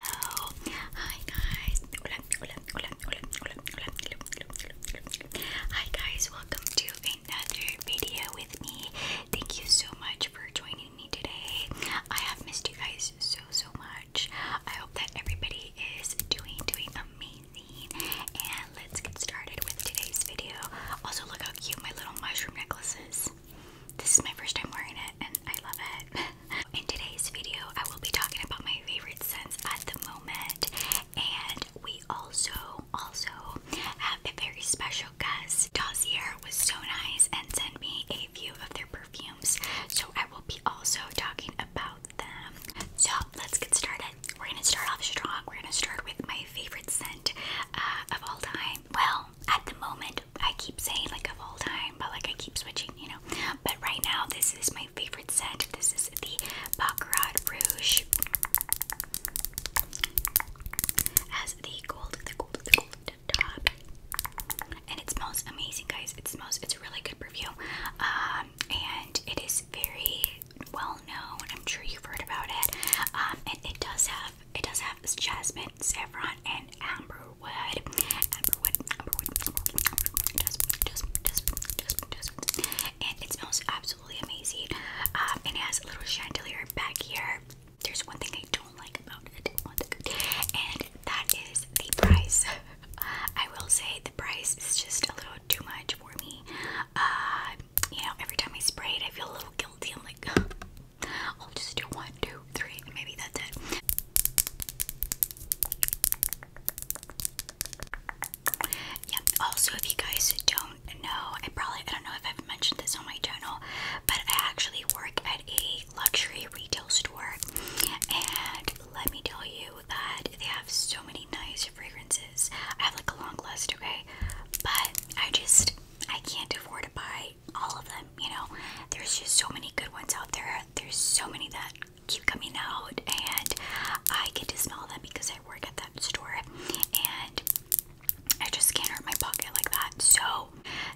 Hello, hi guys. Hi guys, welcome to another video with me. Thank you so much for joining me today. I have missed you guys so so much. I hope that everybody is doing doing amazing. And let's get started with today's video. Also, look how cute my little mushroom necklace is. This is my first time wearing it, I love it. In today's video, I will be talking about my favorite scents at the moment, and we also also have a very special guest. Dossier was so nice and sent me a few of their perfumes, so I will be also talking about them. So let's get started. We're gonna start off strong. We're gonna start with my favorite scent uh, of all time. Well, at the moment, I keep saying like of all time, but like I keep switching, you know. But right now, this is my favorite scent. This is the Baccarat Rouge. Has the gold, the gold, the gold top, and it smells amazing, guys. It smells. It's a really good perfume, um, and it is very well known. I'm sure you've heard about it, um, and it does have it does have jasmine, saffron, and amber and it smells absolutely amazing. Um, it has a little chandelier back here. There's one thing I don't like about it, and that is the price. I will say the price is just a little too much for me. Uh, you know, every time I spray it, I feel a little guilty. I'm like, I'll just do one, two, three, and maybe that's it. Yeah, also if you guys don't know, I probably I don't know if I've mentioned this on my channel, but I actually work at a luxury retail store and let me tell you that they have so many nice fragrances. I have like a long list, okay? But I just I can't afford to buy all of them, you know. There's just so many good ones out there. There's so many that keep coming out and I get to smell them because I work at that store and I just can't hurt my pocket like that. So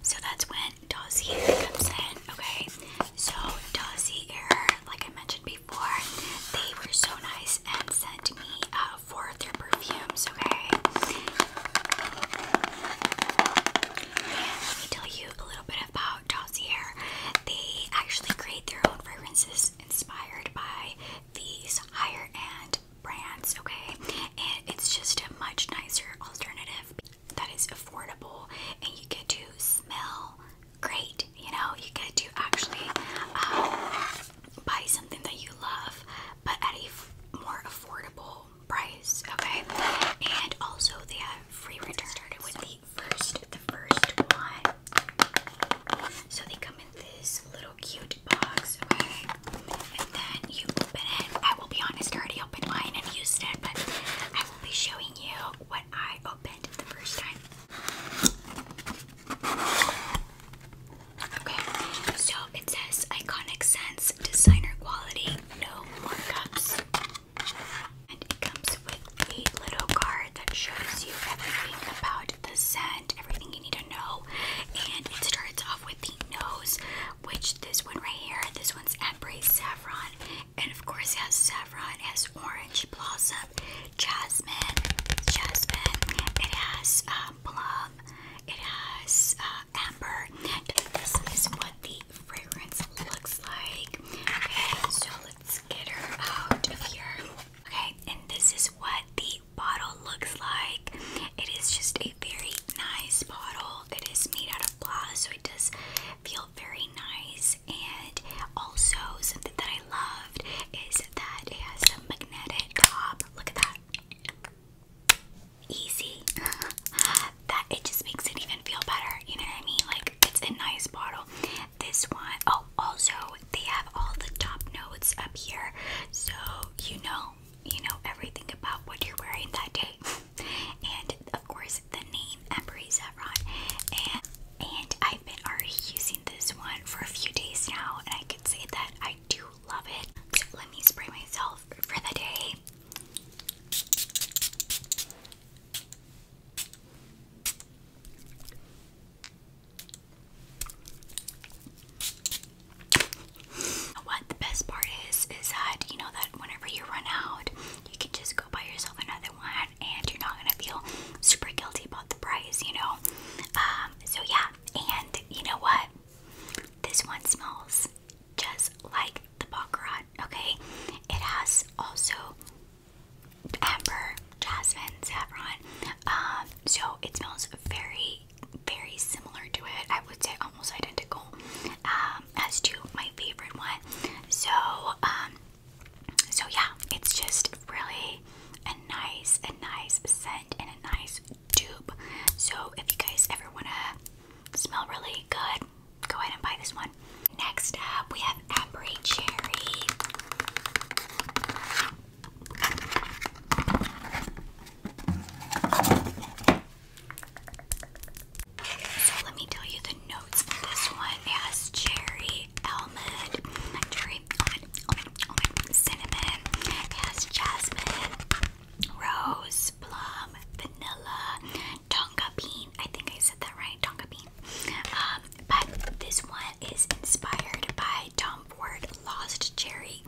so that's when Dossie comes in, okay? So Dossie Air, like I mentioned before, they were so nice and sent me uh, for their perfumes, okay? Let me tell you a little bit about Dossier. They actually create their own fragrances inspired by these higher end brands, okay? And it's just a much nicer alternative that is affordable and you get to smell great. You know, you get to actually um, buy something that you love, but at a more affordable price, okay? And also they have free return. Started with the first, the first one. So they come in this little cute box, okay? And then you open it. I will be honest, I already opened mine and used it, but I will be showing you what I opened the first time. Okay, so it says Iconic Sense, Designer Quality, No more cups, And it comes with a little card that shows you everything about the scent, everything you need to know. And it starts off with the nose, which this one right here, this one's Embrace Saffron. And of course, it has saffron, it has orange blossom, jasmine, jasmine. It has um, it has uh, amber. This is what the fragrance looks like. so let's get her out of here. Okay, and this is what the bottle looks like. It is just a very nice bottle. It is made out of glass, so it does feel very nice. And also, something that I loved is that it has a magnetic top. Look at that easy that it just makes it even feel better. You know what I mean? Like it's a nice bottle. This one, oh, also they have all the top notes up here, so you know, you know everything about what you're wearing that day, and of course the name Emery Zevron. And and I've been already using this one for a few days now, and I can say that I do love it. Let me spray myself for the day. What the best part is is that you know that whenever you run out, you can just go buy yourself another one, and you're not gonna feel super guilty about the price, you know. Um, so yeah, and you know what? This one smells just like the Baccarat, okay? It has also amber, jasmine, saffron. Um, so it smells very, very similar to it. I would say almost identical um, as to my favorite one. So, um, so yeah, it's just really a nice, a nice scent and a nice tube. So if you guys ever want to smell really good, go ahead and buy this one. Next up, we have Amber Cherry. So let me tell you the notes this one. has cherry, almond, cherry, cinnamon, it has jasmine, rose, plum, vanilla, tonka bean. I think I said that right, tonka bean. Um, but this one is inspired by Tom Ford Lost Cherry,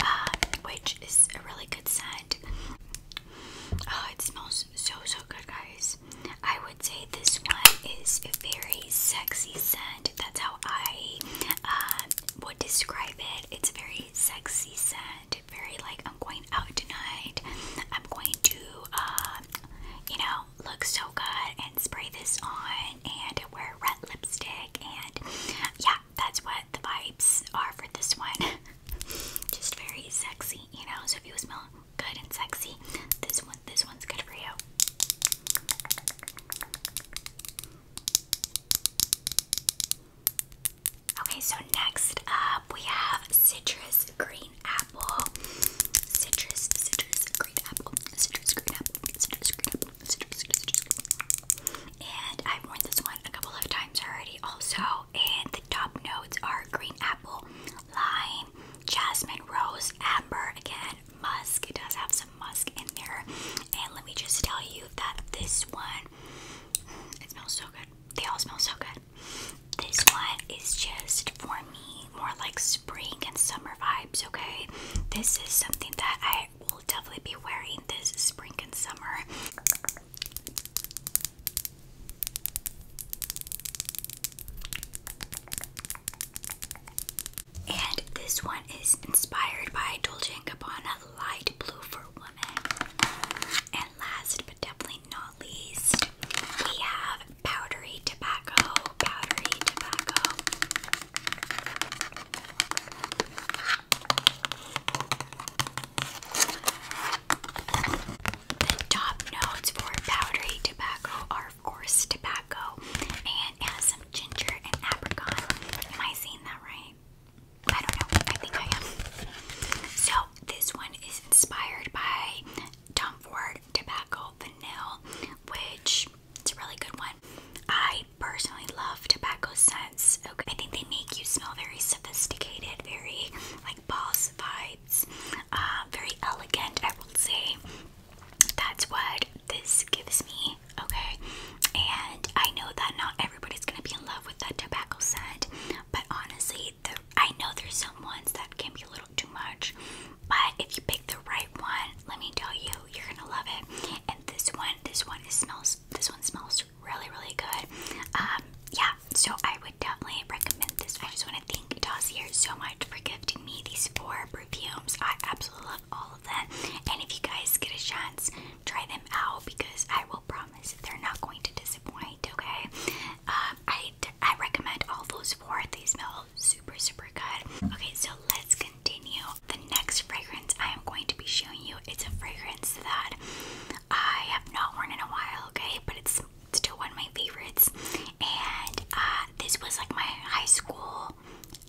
uh, which is a really good scent. Oh, it smells so so good, guys. I would say this one is a very sexy scent. That's how I uh, would describe it. It's very sexy scent, very like I'm going out tonight. I'm going to, um, you know, look so good and spray this on and wear red lipstick and yeah, that's what the vibes are for this one. Just very sexy, you know. So if you smell good and sexy, this one, this one's good for you. Okay, so next up we have citrus green apple. Citrus, citrus green apple, citrus green apple, citrus green apple, citrus, citrus, citrus. And I've worn this one a couple of times already also. And the top notes are green apple, lime, jasmine, rose, amber again, musk. It does have some musk in there. And let me just tell you that this one, it smells so good. They all smell so good. This one is just for me more like spring and summer vibes, okay? This is something that I will definitely be wearing this spring and summer. And this one is inspired by Dolce & Gabbana Light Blue for Women. And last but definitely not least, we have Powdery Tobacco. Powdery Tobacco. The top notes for Powdery Tobacco are, of course, tobacco and has ginger and apricot. Am I saying that right? I don't know. I think I am. So this one is inspired by Tom Ford Tobacco Vanilla, which it's a really good one. I personally love tobacco scents. Okay, I think they make you smell very sophisticated, very like boss vibes, uh, very elegant. I will say that's what this gives me, okay? And I know that not everybody's gonna be in love with that tobacco scent, but honestly, I know there's some ones that can be a little too much, but if you pick the right one, let me tell you, you're gonna love it. And this one, this one smells, this one smells really, really good. Um, yeah, so I would definitely recommend this. I just want to thank Dossier so much for giving me these four perfumes. I absolutely love all of them. And if you guys get a chance, try them out because I will promise they're not going to disappoint. Okay, um, I I recommend all those four. They smell super super good. Okay, so let's continue. The next fragrance I am going to be showing you it's a fragrance that I have not worn in a while. Okay, but it's still one of my favorites, and uh, this was like my high school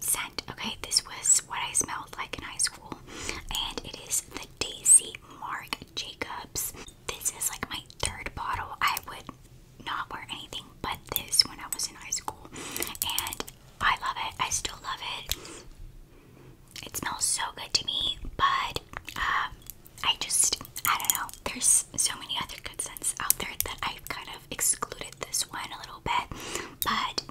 scent. Okay, this was what I smelled like in high school, and it is the Daisy Mark Jacobs. This is like my third bottle. I would not wear anything but this when I was in high school, and I love it. I still love it. It smells so good to me, but uh, I just I don't know. There's so many other good scents out there that I've kind excluded this one a little bit, but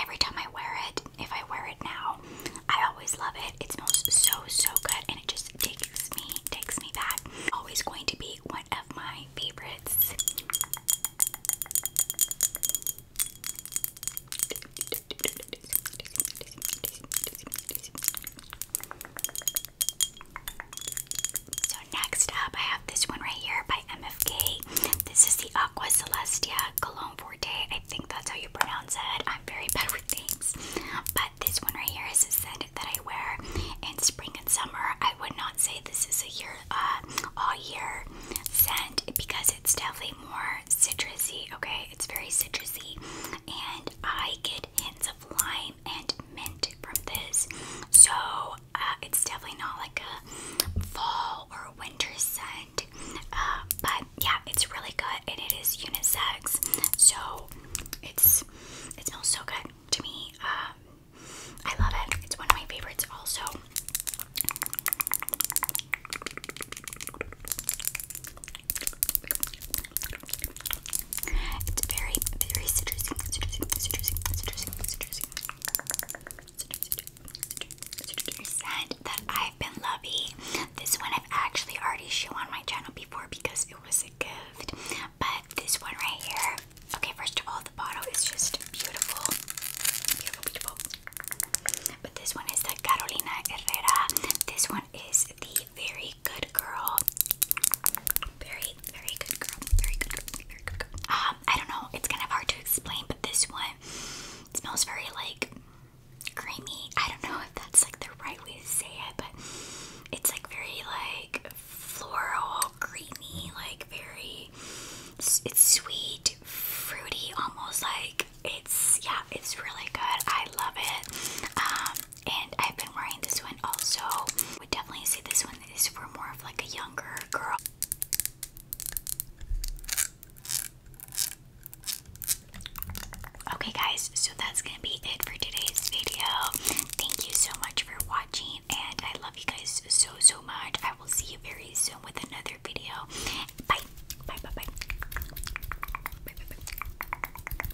every time I wear it, if I wear it now, I always love it. It smells so so good, and it just takes me takes me back. Always going to be one of my favorites. So next up, I have this one right here by MFK. This is the Aqua Celestia Cologne Forte. I think that's how you pronounce it. I'm very bad with names. But this one right here is a scent that I wear in spring and summer. I would not say this is a year, uh, all year scent because it's definitely more citrusy. Okay, it's very citrusy, and I get hints of lime and mint from this. So uh, it's definitely not like a fall or winter scent. Uh, but yeah, it's really good and it is unisex. So it's it smells so good to me. Um, I love it. It's one of my favorites also. It's very, very citrusy, citrusy, citrusy, citrusy, citrusy. Scent that I've been loving. This one I've actually already shown on my channel before because it was a gift. But this one right here. Okay, first of all, the bottle is just beautiful, beautiful, beautiful. But this one is the Carolina Herrera. This one is the very very good girl. Very, very good girl. Very good Very good girl. Um, I don't know. It's kind of hard to explain, but this one smells very like creamy. I don't know if that's like the right way to say it, but it's like very like floral, creamy, like very. It's sweet, fruity, almost like it's yeah. It's really good. I love it. Um, and I've been wearing this one also. Would definitely say this one is for more of like a younger girl. Okay guys, so that's gonna be it for today's video. Thank you so much for watching and I love you guys so so much. I will see you very soon with another video. Bye. Bye bye bye. Bye bye bye.